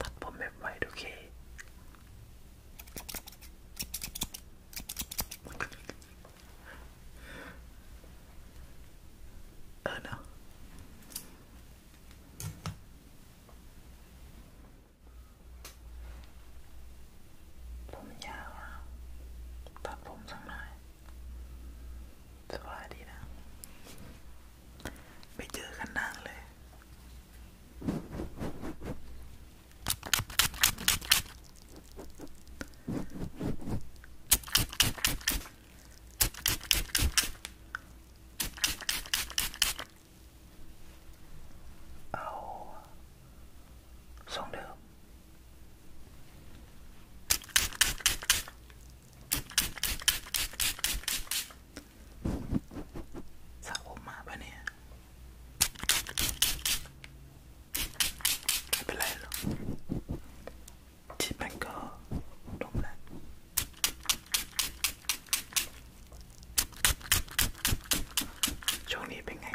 ตัดผมแบบไวดูเคเออเนาะผมยาวตัดผมสักหน่อยสบายดีนะไปเจอกันนานเลย เอาทรงเดิมสะผมมาปะเนี่ยไม่เป็นไรหรอกชิปมันก็ดมแล้วช่วงนี้เป็นไง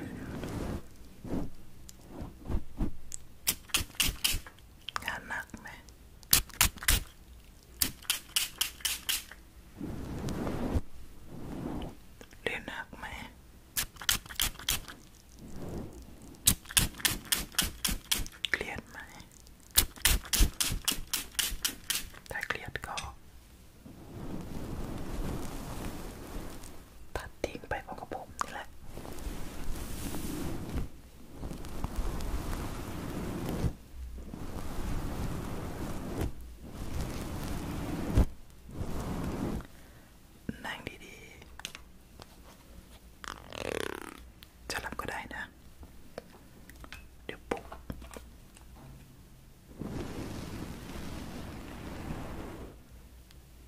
งานหนักไหมเรียนหนักไหมเครียดไหมถ้าเครียดก็ตัดทิ้งไปพร้อมกับผมนี่แหละนั่งดีๆจะหลับก็ได้นะ เดี๋ยวปลุก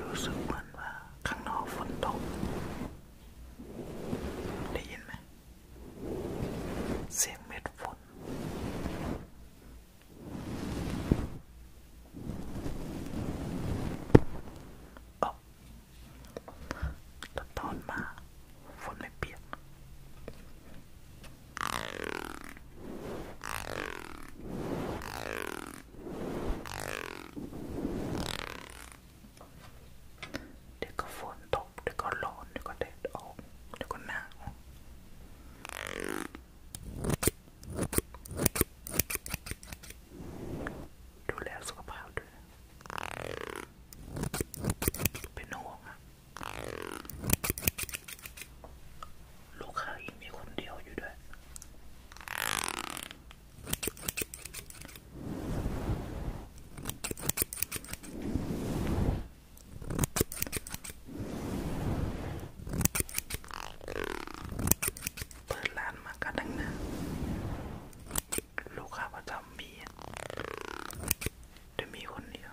รู้สึกเหมือนว่าข้างนอกฝนตกได้ยินไหมเสียงเม็ดฝนอ๋อตอนมาฝนไม่เปียกฝเดี๋ยวก็ฝนตกเดี๋ยวก็ร้อนเดี๋ยวก็แดดออกเดี๋ยวก็หนาวดูแลสุขภาพด้วยเป็นห่วงอะลูกค้าอีกมีคนเดียวอยู่ด้วย เปิดร้านมากันตั้งนานลูกค้าประจำมีแต่มีคนเดียว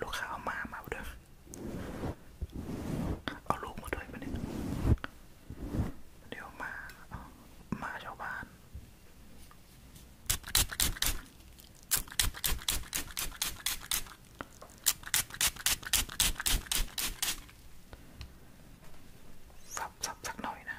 ลูกค้าเอามามาด้วยเอาลูกมาด้วยปะเนี่ยเดี๋ยวมามาชาวบ้านสับสับสักหน่อยนะ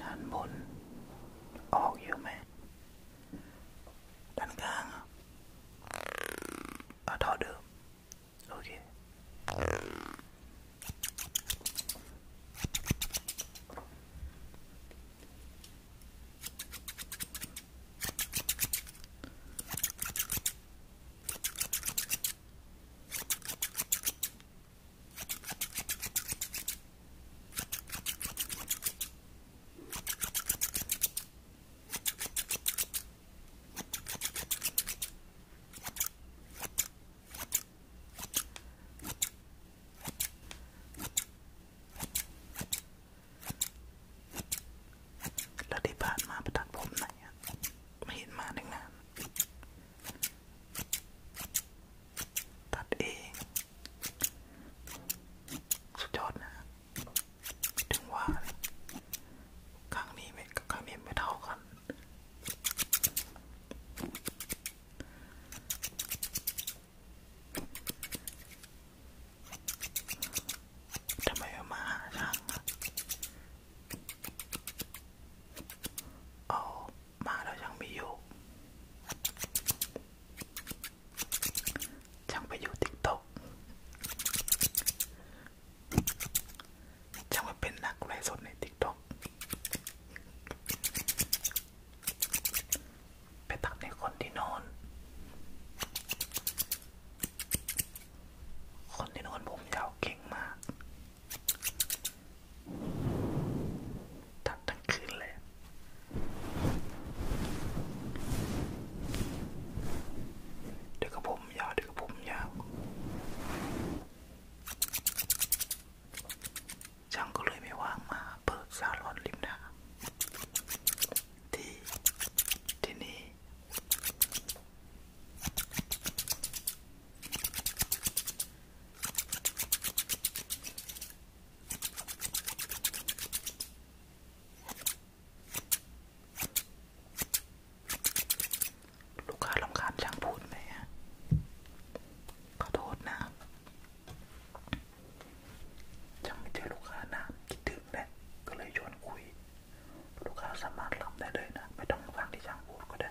ด้านบนออกอยู่ไหมด้านกลางอ่ะท่อเดิมโอเคแล้วที่ผ่านมาประทัดผมไหนอะไม่เห็นมาตั้งนานตัดเองสุดยอดนะ ถึงว่าครั้งนี้ไม่กับครั้งนี้ไม่เท่ากันทำไมมาหาช่างเอามาแล้วยังมีอยู่ช่างไปอยู่ติ๊กต็อกช่างไปเป็นนักไลฟ์สดในติ๊กต็อกไปตักในคนที่นอน คนที่นอนผมยาวเก่งมากทับทั้งคืนเลย เดี๋ยวก็ผมยาวเดี๋ยวก็ผมยาวช่างก็เลยไม่ว่างมาเปิดซาลอนริมน้ำที่ที่นี่ลูกค้าลำคาญช่างพูดไหมฮะขอโทษนะช่างไม่เจอลูกค้านะคิดถึงแหละก็เลยชวนคุย ลูกค้าสามารถรับได้เลยนะ ไม่ต้องฟังที่ช่างพูดก็ได้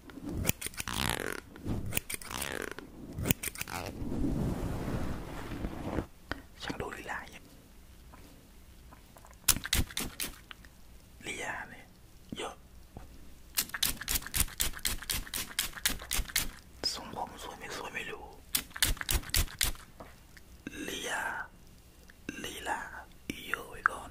ช่างดูลีลาอย่างลีลาเนี่ยเยอะทรงผมสวยไม่สวยไม่รู้ลีลาลีลาเยอะไว้ก่อน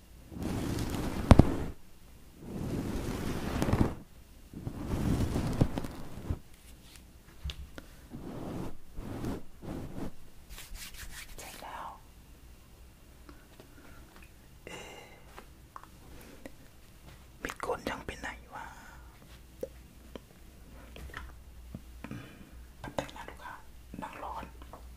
เสร็จแล้วเอมีคนยังไปไหนวะแต่งหน้าลูกค้านั่งร้อน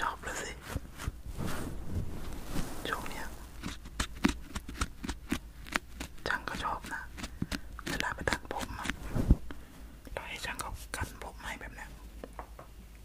ชอบเลยสิช่วงเนี้ยช่างก็ชอบนะเวลาไปตัดผมอะเราให้ช่างเขากันผมให้แบบเนี้ย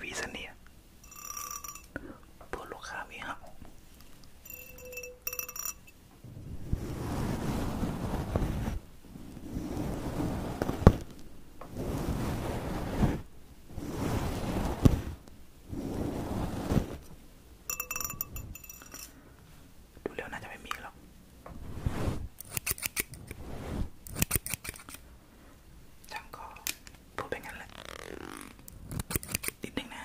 วีเซเนียพวกลูกค้ามีเห่าดูแล้วน่าจะไม่มีหรอกจังก็พูดไปงั้นแหละนิดนึงนะ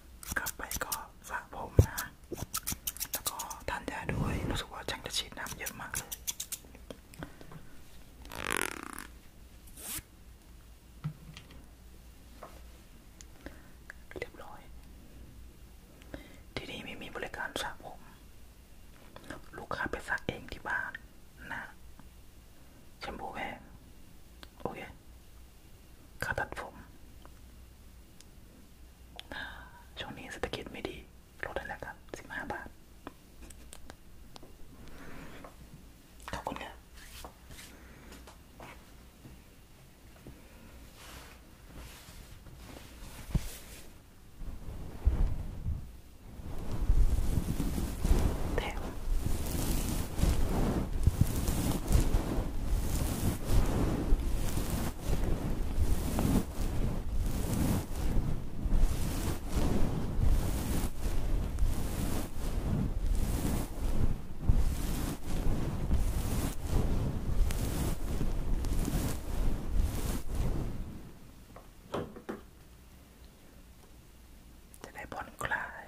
กลับไปก็สระผมนะ แล้วก็ทานยาด้วย รู้สึกว่าจังจะฉีดน้ำเยอะมากเลยเรียบร้อย ที่นี่ไม่มีบริการสระผม ลูกค้าไปสระเองที่บ้านนะแชมพูแพงโอเคขาตัดผม ช่วงนี้เศรษฐกิจไม่ดีลดได้แล้วครับสิบห้าบาทขอบคุณครับแถมจะได้ผ่อนคลาย